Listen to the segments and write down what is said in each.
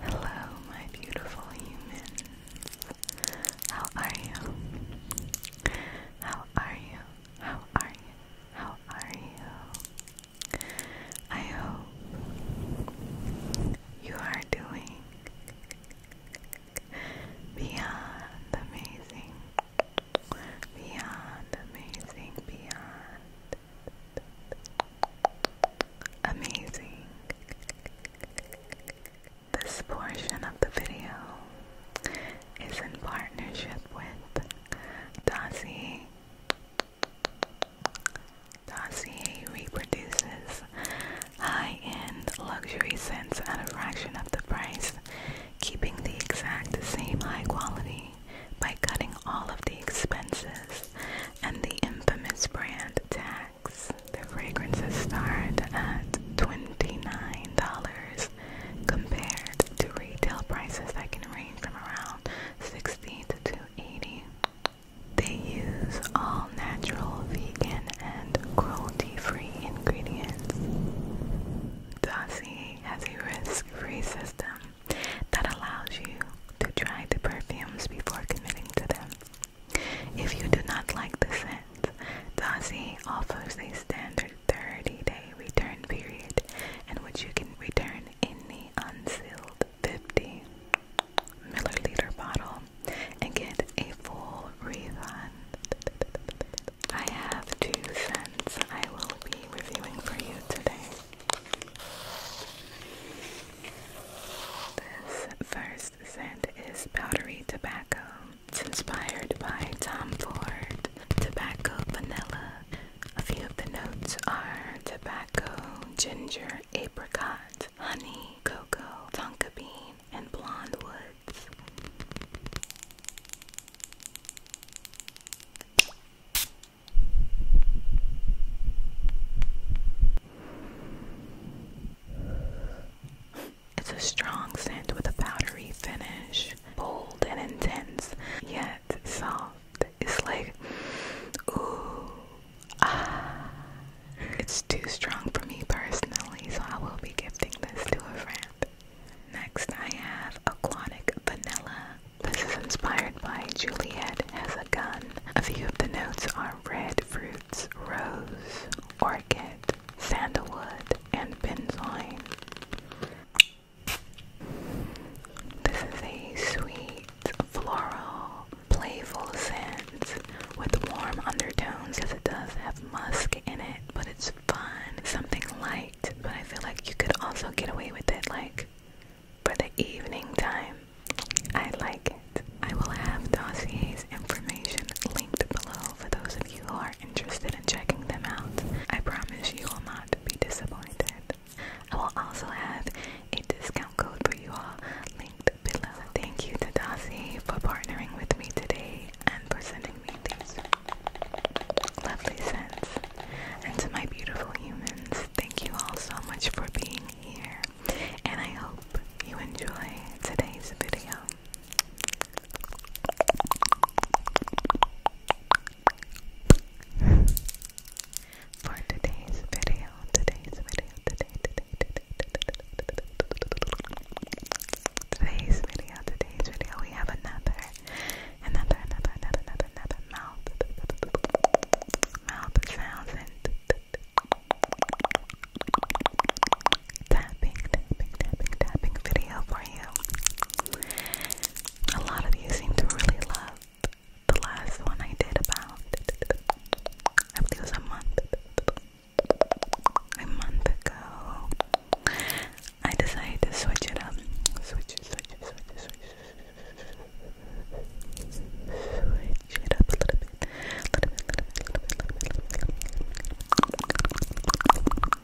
Hello, my beautiful humans. How are you? How are you? How are you? How are you? I hope you are doing beyond amazing, beyond amazing, beyond amazing. This portion of the video is in partnership with Dossier. Dossier reproduces high-end luxury scents at a fraction of the price, keeping the exact same high quality by cutting all of the expenses and the infamous brand tax. The fragrances start at $29 compared to retail prices that can range from around 60 to 280. They use all natural, vegan, and cruelty free ingredients. Dossier has a risk free system that allows you to try the perfumes before committing to them. If you do not like the scent, Dossier offers a standard 30 day return period in which you can return any unsealed 50 milliliter bottle and get a full review. I have two scents I will be reviewing for you today. This first scent is powdery tobacco. It's inspired by Tom Ford tobacco vanilla. A few of the notes are tobacco, ginger, apricot, honey, cocoa, tonka bean, and Blonde Woods. It's a strong scent with a powdery finish, bold and intense, yet soft. It's like, ooh, ah, it's too strong for me personally, so I will be gifting this to a friend. Next, I have Aquatic Vanilla. This is inspired by Juliet as a Gun. A few of the notes are red fruits, rose, orchid, sandalwood, and benzoin. This is a sweet floral playful scent with warm undertones as it does have musk in it, but it's fun, something light, but I feel like you could also get away with it like for the evening time. I like it. I will have Dossier's information linked below for those of you who are interested in checking them out. I promise you will not be disappointed. I will also have a discount code for you all below. Thank you to Darcy for partnering with me today and for sending me these lovely scents. And to my beautiful humans, thank you all so much for being here. And I hope you enjoy today's video. For today's video, today's video, today, today, today, Today's video, today's video, we have another, another, another, another, another, mouth, mouth sounds and tapping, tapping, tapping, tapping video for you. A lot of you seem to really love the last one I did about, I believe it a month a month ago, I decided to switch it up. Switch, it up a little bit,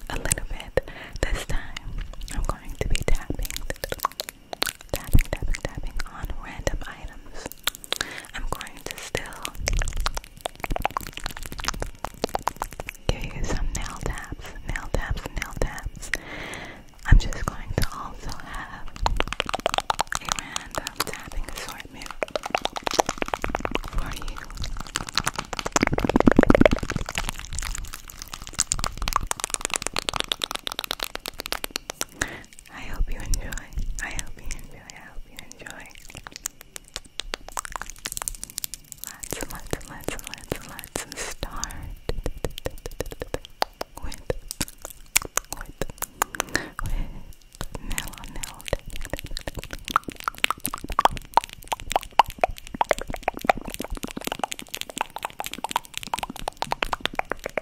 a little bit. This time, I'm going to be tapping, tapping, tapping on random items. I'm going to still give you some nail taps, nail taps, nail taps. I'm just going to also have a random tapping assortment for you. I hope you enjoy. I hope you enjoy. I hope you enjoy. Let's let's let's let's let's start with with with mellow melt.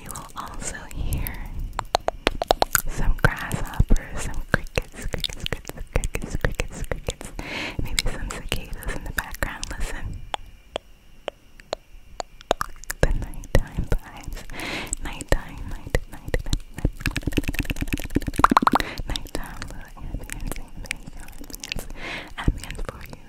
You will also hear some grasshoppers, some crickets, crickets, crickets, crickets, crickets, crickets, maybe some cicadas in the background. Listen. The nighttime vibes. Nighttime, night, night, night, night. Nighttime, little ambience, ambience, ambience, ambience for you.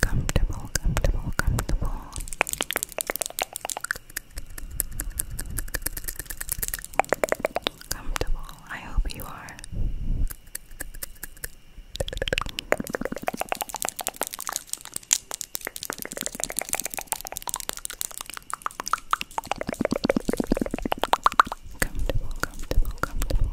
comfortable, comfortable, comfortable. Comfortable. I hope you are. Comfortable, comfortable, comfortable.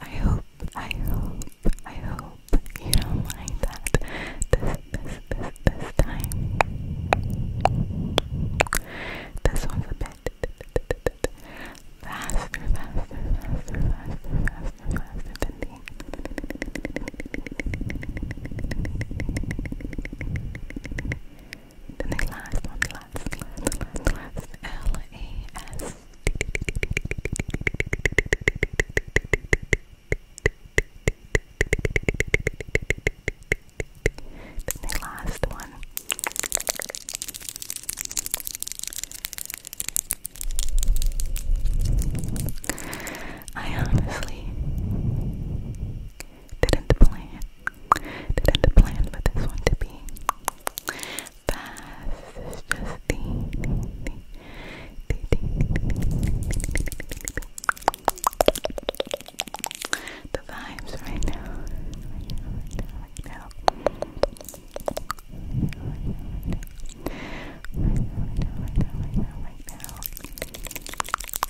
I hope, I hope, I hope you don't mind that this, this, this, this time. This one's a bit faster, faster, faster, faster, faster, faster than the the last one, the last, the last, L A S. the last one. I honestly didn't plan. Didn't plan for this one to be fast. It's just the the vibes right now, right now, right now, right now, right now, right now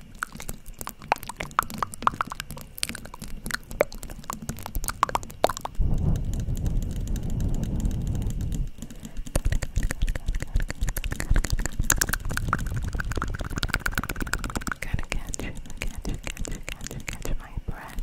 Gotta catch, catch, catch, catch, catch my breath.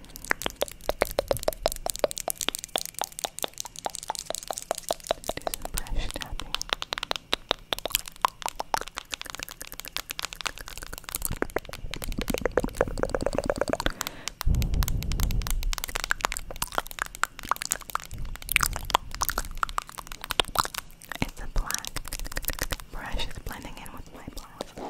brush It's a black brush is blending in with my black.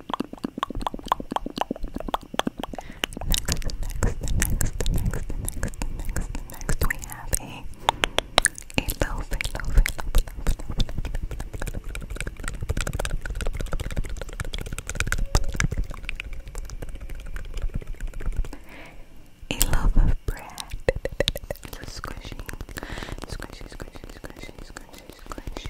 Next, the next, next, next, next, next, next, we have a a loaf, a loaf, a loaf, of bread. Squishy, squishy, squishy, squishy, squishy, squishy.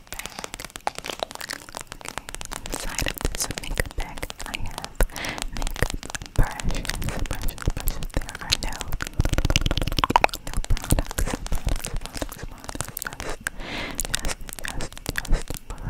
makeup bag. Okay, inside of this makeup bag, I have makeup brushes, brushes, brushes. There are no, no products, products, products, products. Just, just, just, just brushes. Just, just, just, just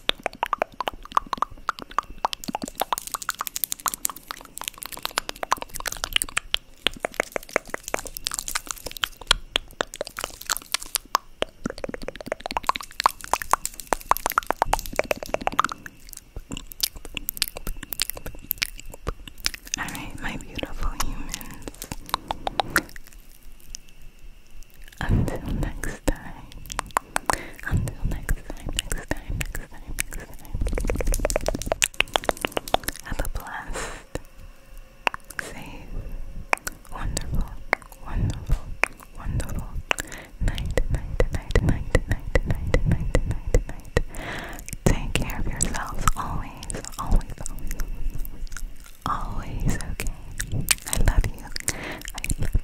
All right, my beautiful humans. Until next time, until next time, next time, next time, next time. Have a blessed, safe, wonderful, wonderful, wonderful night, night, night, night, night, night, night, night, night. Take care of yourselves always, always, always, always, okay? I love you, I love you.